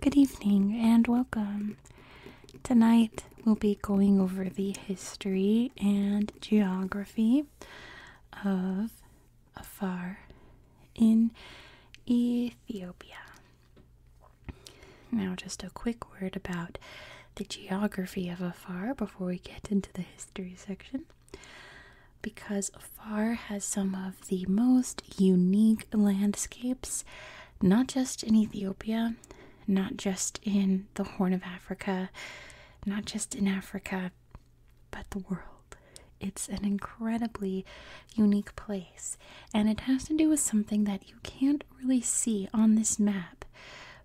Good evening and welcome. Tonight we'll be going over the history and geography of Afar in Ethiopia. Now, just a quick word about the geography of Afar before we get into the history section because Afar has some of the most unique landscapes, not just in Ethiopia, not just in the Horn of Africa, not just in Africa, but the world. It's an incredibly unique place, and it has to do with something that you can't really see on this map.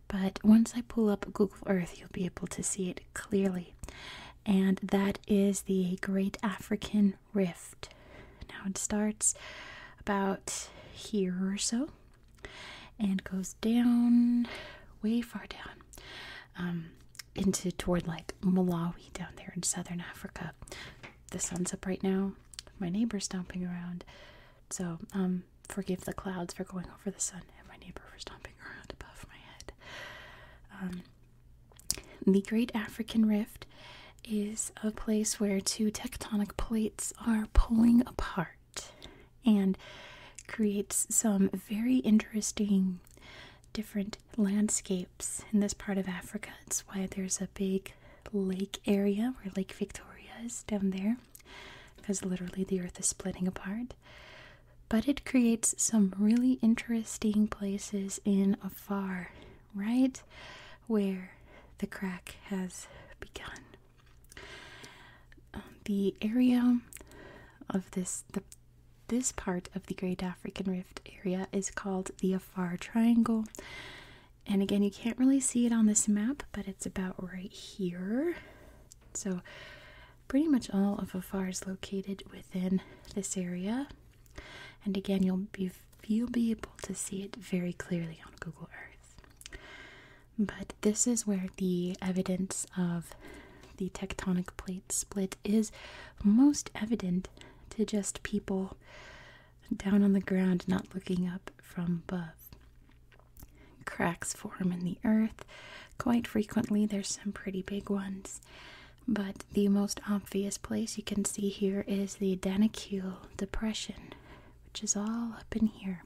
But once I pull up Google Earth, you'll be able to see it clearly. And that is the Great African Rift. Now it starts about here or so and goes down way far down um, into toward like Malawi down there in southern Africa. The sun's up right now. My neighbor's stomping around. So, um, forgive the clouds for going over the sun and my neighbor for stomping around above my head. Um, the Great African Rift is a place where two tectonic plates are pulling apart and creates some very interesting different landscapes in this part of Africa. It's why there's a big lake area where Lake Victoria is down there because literally the earth is splitting apart. But it creates some really interesting places in Afar right where the crack has begun. Um, the area of this this part of the Great African Rift area is called the Afar Triangle. And again, you can't really see it on this map, but it's about right here. So, pretty much all of Afar is located within this area. And again, you'll be you'll be able to see it very clearly on Google Earth. But this is where the evidence of the tectonic plate split is most evident to just people down on the ground not looking up from above. Cracks form in the earth. Quite frequently, there's some pretty big ones. But the most obvious place you can see here is the Danakil Depression, which is all up in here.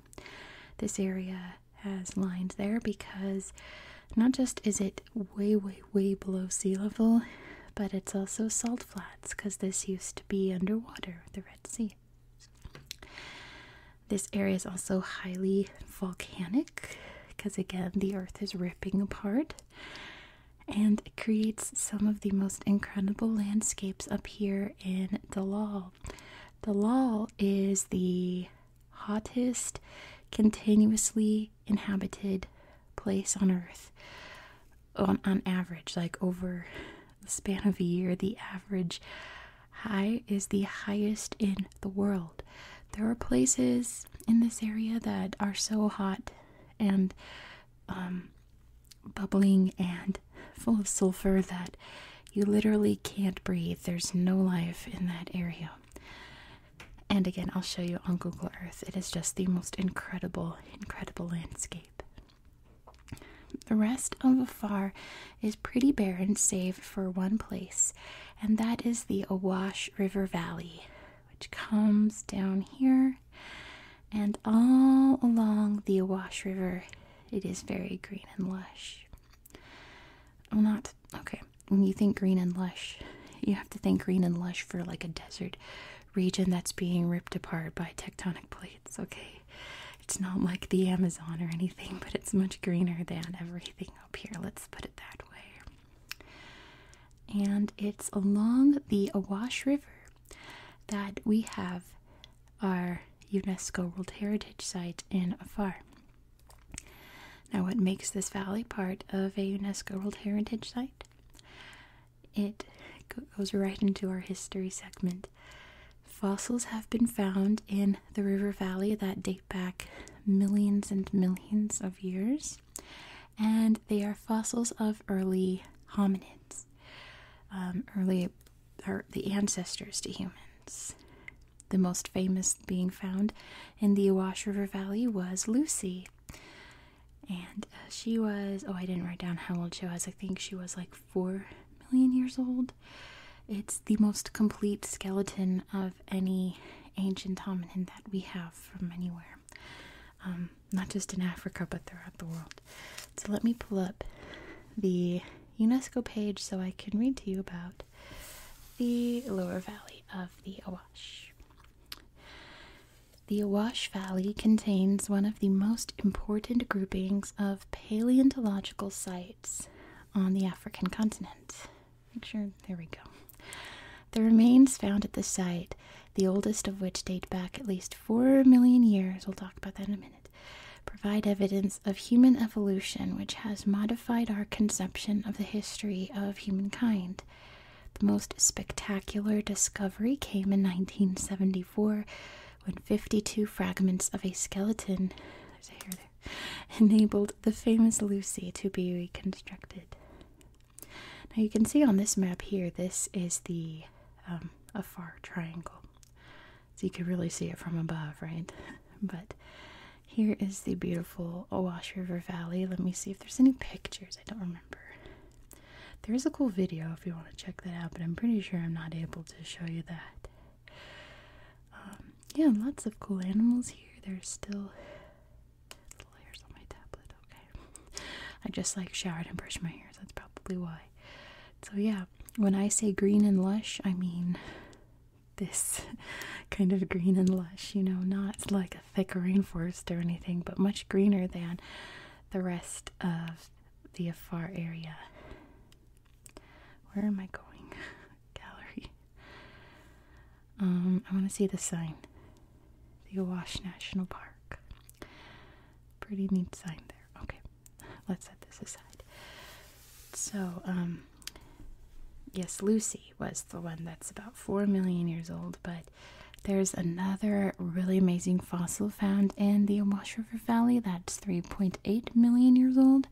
This area has lines there because not just is it way, way, way below sea level, but it's also salt flats because this used to be underwater, the Red Sea. This area is also highly volcanic because, again, the earth is ripping apart and it creates some of the most incredible landscapes up here in Dalal. Dalal is the hottest continuously inhabited place on earth on, on average like over the span of a year the average high is the highest in the world there are places in this area that are so hot and um, bubbling and full of sulfur that you literally can't breathe. There's no life in that area. And again, I'll show you on Google Earth. It is just the most incredible, incredible landscape. The rest of Afar is pretty barren, save for one place, and that is the Awash River Valley, which comes down here and all along the Awash River. It is very green and lush. Well, not okay. When you think green and lush, you have to think green and lush for like a desert region that's being ripped apart by tectonic plates, okay? It's not like the Amazon or anything, but it's much greener than everything up here. Let's put it that way. And it's along the Awash River that we have our UNESCO World Heritage Site in Afar. Now, what makes this valley part of a UNESCO World Heritage Site? It goes right into our history segment. Fossils have been found in the river valley that date back millions and millions of years and they are fossils of early hominids, um, early are the ancestors to humans. The most famous being found in the Awash River Valley was Lucy. And uh, she was, oh, I didn't write down how old she was. I think she was like four million years old. It's the most complete skeleton of any ancient hominin that we have from anywhere, um, not just in Africa but throughout the world. So let me pull up the UNESCO page so I can read to you about the lower valley of the Awash. The Awash Valley contains one of the most important groupings of paleontological sites on the African continent. Make sure, there we go. The remains found at the site, the oldest of which date back at least 4 million years, we'll talk about that in a minute, provide evidence of human evolution which has modified our conception of the history of humankind. The most spectacular discovery came in 1974 when 52 fragments of a skeleton, there's enabled the famous Lucy to be reconstructed. Now you can see on this map here, this is the um, Afar Triangle. So you can really see it from above, right? but here is the beautiful Owash River Valley. Let me see if there's any pictures. I don't remember. There is a cool video if you want to check that out, but I'm pretty sure I'm not able to show you that. Um, yeah, lots of cool animals here. They're still layers on my tablet, okay? I just like showered and brushed my hair, that's probably why. So, yeah, when I say green and lush, I mean this kind of green and lush, you know, not like a thick rainforest or anything, but much greener than the rest of the Afar area. Where am I going? gallery. Um, I want to see the sign. The Awash National Park. Pretty neat sign there. Okay, let's set this aside. So, um, yes, Lucy was the one that's about 4 million years old, but there's another really amazing fossil found in the Awash River Valley that's 3.8 million years old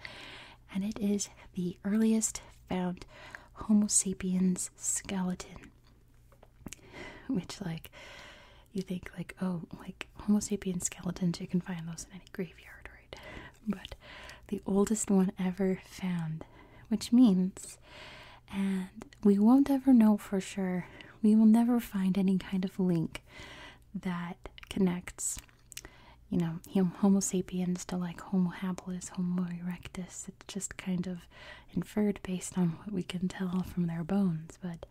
and it is the earliest found Homo sapiens skeleton. Which, like, you think, like, oh, like Homo sapiens skeletons, you can find those in any graveyard, right? But the oldest one ever found, which means, and we won't ever know for sure, we will never find any kind of link that connects you know, Homo sapiens to like Homo habilis, Homo erectus. It's just kind of inferred based on what we can tell from their bones, but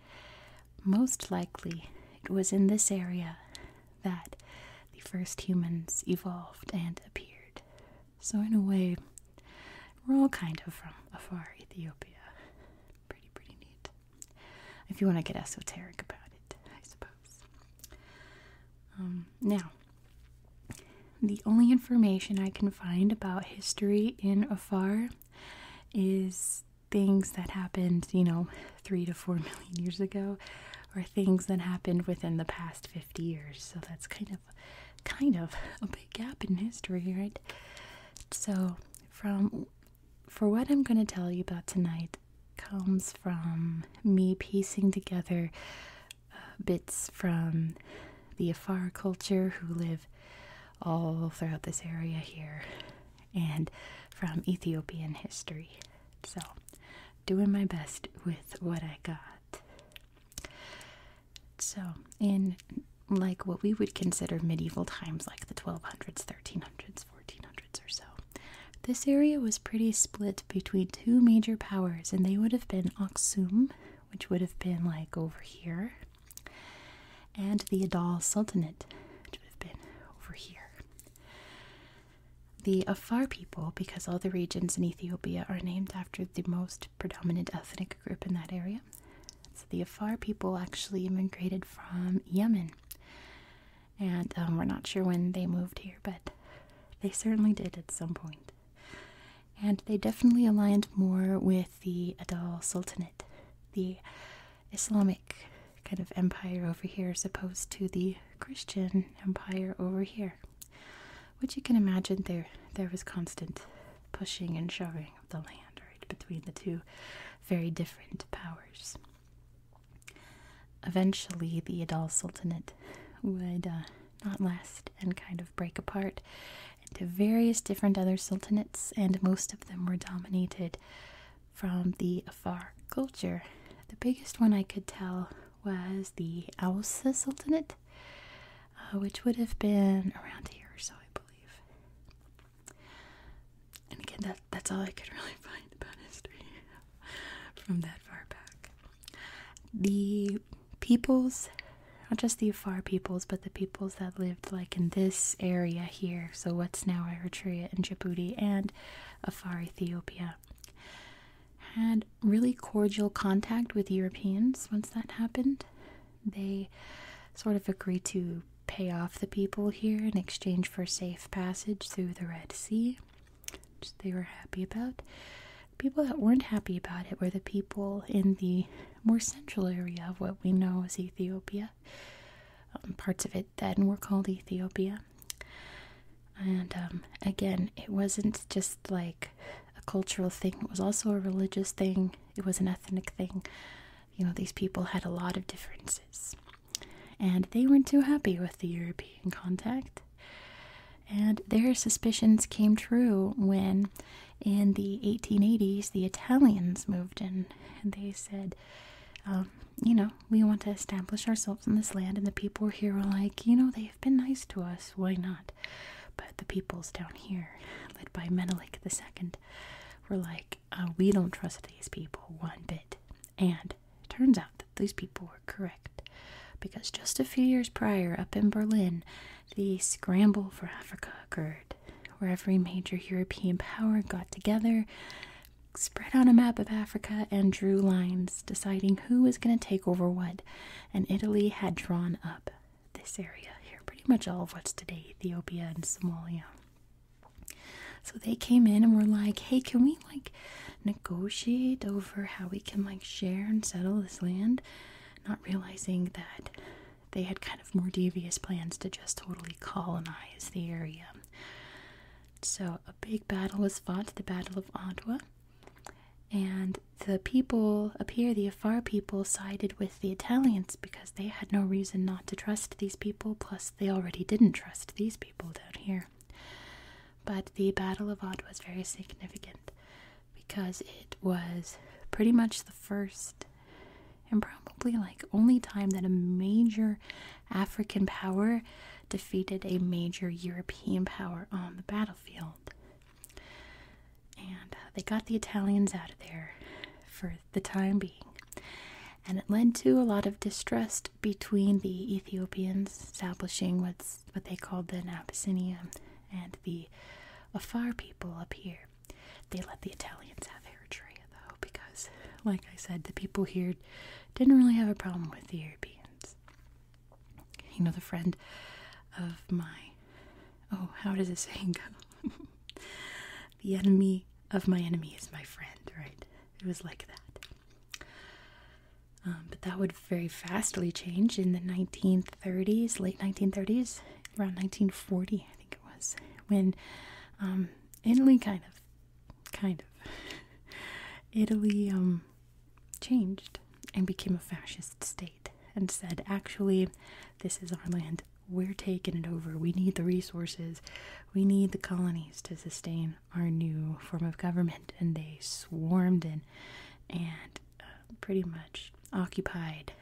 most likely it was in this area that the first humans evolved and appeared. So, in a way, we're all kind of from afar Ethiopia. Pretty, pretty neat. If you want to get esoteric about it, I suppose. Um, now, the only information I can find about history in Afar is things that happened, you know, three to four million years ago, or things that happened within the past 50 years. So that's kind of, kind of a big gap in history, right? So, from for what I'm going to tell you about tonight comes from me piecing together bits from the Afar culture who live all throughout this area here and from Ethiopian history. So, doing my best with what I got. So, in like what we would consider medieval times, like the 1200s, 1300s, 1400s, or so, this area was pretty split between two major powers, and they would have been Aksum, which would have been like over here, and the Adal Sultanate, which would have been over here. The Afar people, because all the regions in Ethiopia are named after the most predominant ethnic group in that area, so the Afar people actually immigrated from Yemen and um, we're not sure when they moved here, but they certainly did at some point. And they definitely aligned more with the Adal Sultanate, the Islamic kind of empire over here, as opposed to the Christian empire over here. Which you can imagine there there was constant pushing and shoving of the land right between the two very different powers. Eventually, the Adal Sultanate would uh, not last and kind of break apart into various different other sultanates, and most of them were dominated from the Afar culture. The biggest one I could tell was the Ausa Sultanate, uh, which would have been around here so, I believe. And again, that's all I could really find about history from that far back. The peoples, not just the Afar peoples, but the peoples that lived like in this area here, so what's now Eritrea and Djibouti and Afar Ethiopia, had really cordial contact with Europeans once that happened. They sort of agreed to pay off the people here in exchange for safe passage through the Red Sea which they were happy about. people that weren't happy about it were the people in the more central area of what we know as Ethiopia. Um, parts of it then were called Ethiopia. And um, again, it wasn't just like a cultural thing, it was also a religious thing, it was an ethnic thing. You know, these people had a lot of differences and they weren't too happy with the European contact. And their suspicions came true when, in the 1880s, the Italians moved in and they said, um, You know, we want to establish ourselves in this land. And the people here were like, You know, they've been nice to us. Why not? But the peoples down here, led by Menelik II, were like, uh, We don't trust these people one bit. And it turns out that these people were correct, because just a few years prior, up in Berlin, the scramble for Africa occurred, where every major European power got together, spread on a map of Africa, and drew lines deciding who was going to take over what. And Italy had drawn up this area here, pretty much all of what's today Ethiopia and Somalia. So they came in and were like, hey, can we like negotiate over how we can like share and settle this land? Not realizing that they had kind of more devious plans to just totally colonize the area. So, a big battle was fought, the Battle of Ottawa, and the people up here, the Afar people, sided with the Italians because they had no reason not to trust these people, plus, they already didn't trust these people down here. But the Battle of Odd was very significant because it was pretty much the first and probably like only time that a major African power defeated a major European power on the battlefield. And uh, they got the Italians out of there for the time being. And it led to a lot of distrust between the Ethiopians establishing what's what they called the Abyssinia and the Afar people up here. They let the Italians have Eritrea though, because, like I said, the people here didn't really have a problem with the Europeans. You know, the friend of my. Oh, how does this saying go? the enemy of my enemy is my friend, right? It was like that. Um, but that would very vastly change in the 1930s, late 1930s, around 1940, I think it was, when um, Italy kind of, kind of, Italy um, changed and became a fascist state and said, actually, this is our land. We're taking it over. We need the resources. We need the colonies to sustain our new form of government, and they swarmed in and uh, pretty much occupied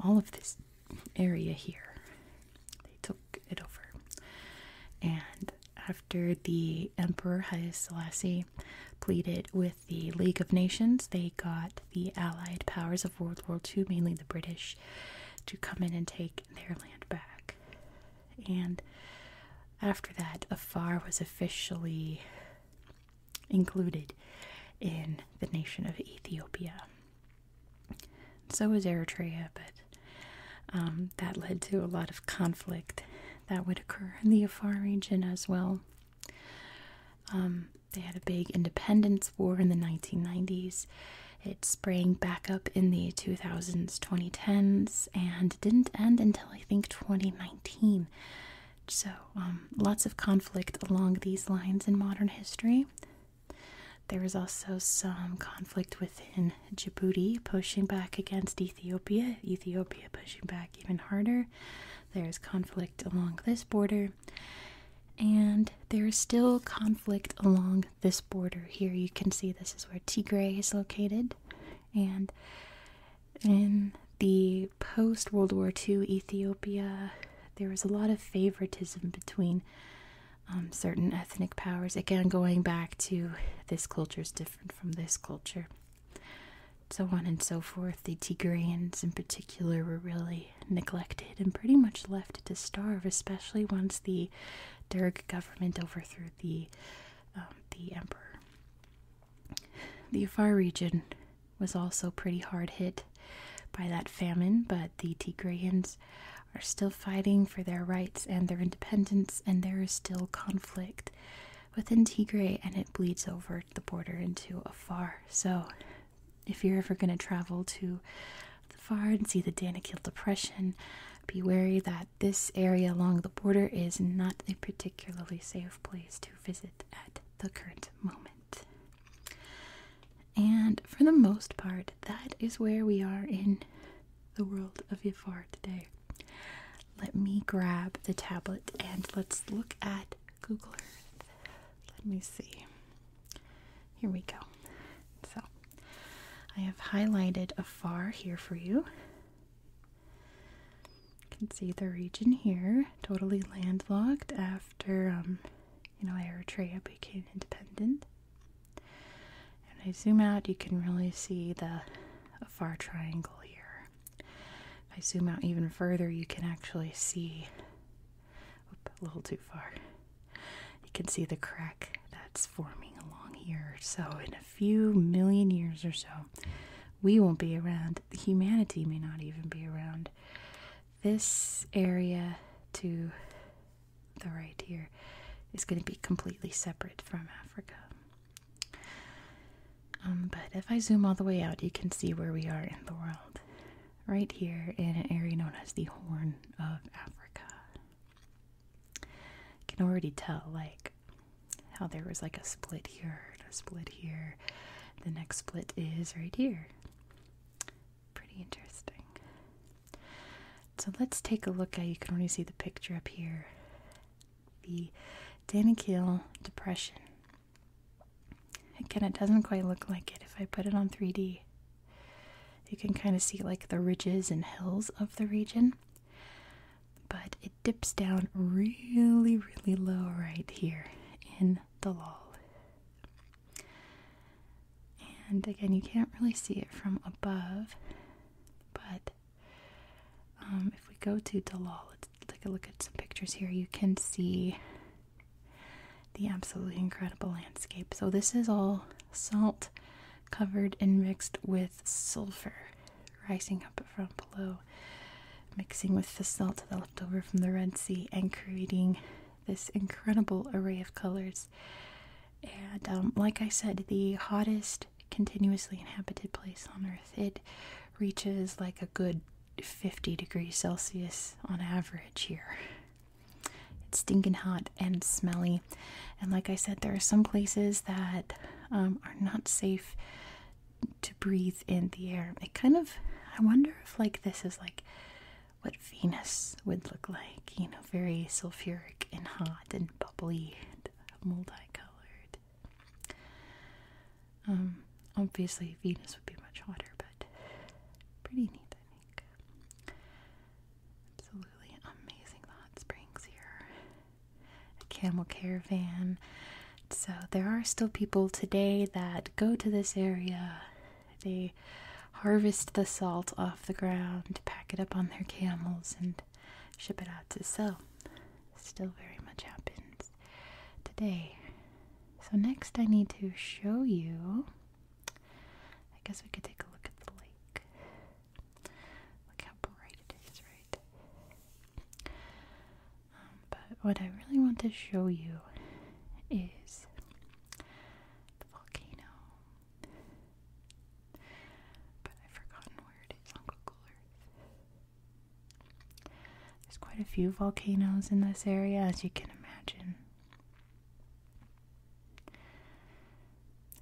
all of this area here. They took it over, and after the Emperor Haile Selassie pleaded with the League of Nations, they got the Allied powers of World War II, mainly the British, to come in and take their land back and after that, Afar was officially included in the nation of Ethiopia. So was Eritrea, but um, that led to a lot of conflict that would occur in the Afar region as well. Um, they had a big independence war in the 1990s, it sprang back up in the 2000s, 2010s, and didn't end until I think 2019. So, um, lots of conflict along these lines in modern history. There was also some conflict within Djibouti pushing back against Ethiopia, Ethiopia pushing back even harder. There's conflict along this border, and there is still conflict along this border here. You can see this is where Tigray is located, and in the post World War II Ethiopia, there was a lot of favoritism between um, certain ethnic powers. Again, going back to this culture is different from this culture, so on and so forth. The Tigrayans, in particular, were really neglected and pretty much left to starve, especially once the Derg government overthrew the um, the emperor. The Afar region was also pretty hard hit by that famine, but the Tigrayans are still fighting for their rights and their independence, and there is still conflict within Tigray, and it bleeds over the border into Afar. So, if you're ever going to travel to the far and see the Danakil Depression. Be wary that this area along the border is not a particularly safe place to visit at the current moment. And for the most part, that is where we are in the world of Yafar today. Let me grab the tablet and let's look at Google Earth. Let me see here we go. So I have highlighted afar here for you. You can see the region here, totally landlocked after um, you know Eritrea became independent. And I zoom out, you can really see the Afar Triangle here. If I zoom out even further, you can actually see a little too far. You can see the crack that's forming along here. So, in a few million years or so, we won't be around. Humanity may not even be around. This area to the right here is going to be completely separate from Africa. Um, but if I zoom all the way out, you can see where we are in the world right here in an area known as the Horn of Africa. You can already tell, like, how there was like a split here a split here. The next split is right here. Pretty interesting. So let's take a look at, you can only see the picture up here, the Danakil Depression. Again, it doesn't quite look like it if I put it on 3D. You can kind of see like the ridges and hills of the region, but it dips down really, really low right here in the Lal. And again, you can't really see it from above, but um, if we go to the Dalal, let's take a look at some pictures here. You can see the absolutely incredible landscape. So, this is all salt covered and mixed with sulfur rising up from below, mixing with the salt that left over from the Red Sea, and creating this incredible array of colors. And, um, like I said, the hottest continuously inhabited place on Earth. It reaches like a good 50 degrees Celsius on average here, it's stinking hot and smelly. And like I said, there are some places that um, are not safe to breathe in the air. It kind of, I wonder if like this is like what Venus would look like, you know, very sulfuric and hot and bubbly and multicolored. Um, obviously Venus would be much hotter, but pretty neat, think. Absolutely amazing hot springs here. camel caravan. So there are still people today that go to this area. They harvest the salt off the ground, pack it up on their camels, and ship it out to sell. Still very much happens today. So next I need to show you I guess we could take a look at the lake. Look how bright it is, right? Um, but what I really want to show you is the volcano. But I've forgotten where it is on Google Earth. There's quite a few volcanoes in this area, as you can imagine.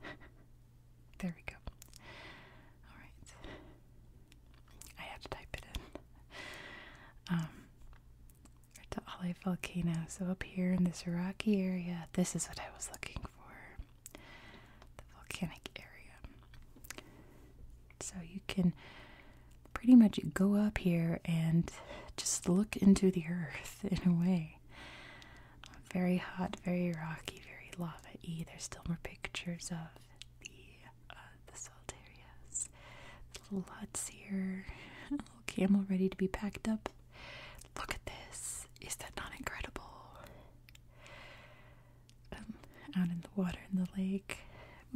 there we go. Alright. I had to type it in. Um, to Volcano. So, up here in this rocky area, this is what I was looking for the volcanic area. So, you can pretty much go up here and just look into the earth in a way. Very hot, very rocky, very lava-y. There's still more pictures of the uh, the salt areas. little huts here. little camel ready to be packed up. Look at this. Is that not incredible? Um, out in the water in the lake.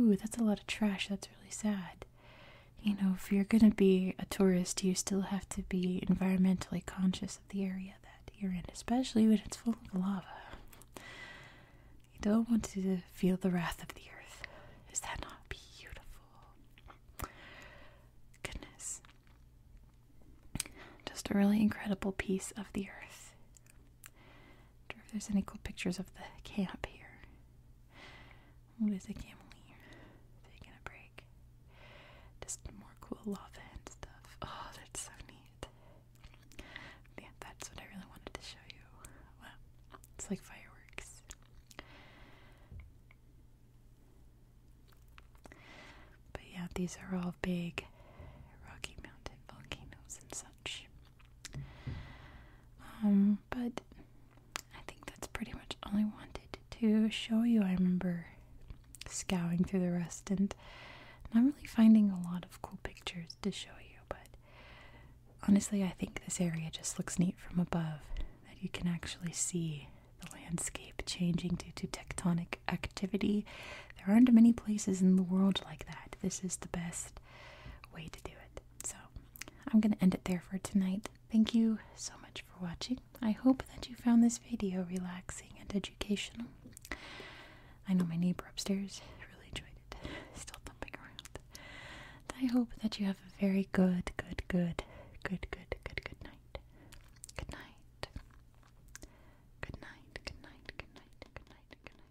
Ooh, that's a lot of trash. That's really sad you know, if you're going to be a tourist, you still have to be environmentally conscious of the area that you're in, especially when it's full of lava. You don't want to feel the wrath of the earth. Is that not beautiful? Goodness. Just a really incredible piece of the earth. I wonder if there's any cool pictures of the camp here. What is a camelier? Taking a break. Just more cool lava and stuff. Oh, that's so neat. Yeah, that's what I really wanted to show you. Wow. It's like fireworks. But yeah, these are all big Rocky Mountain volcanoes and such. Um, but I think that's pretty much all I wanted to show you. I remember scouring through the rest and not really finding a lot of cool pictures to show you, but honestly, I think this area just looks neat from above that you can actually see the landscape changing due to tectonic activity. There aren't many places in the world like that. This is the best way to do it. So I'm going to end it there for tonight. Thank you so much for watching. I hope that you found this video relaxing and educational. I know my neighbor upstairs really enjoyed it, still thumping around. I hope that you have a very good, good, good, good, good, good, good night. Good night. Good night, good night, good night, good night, good night, good night, good night.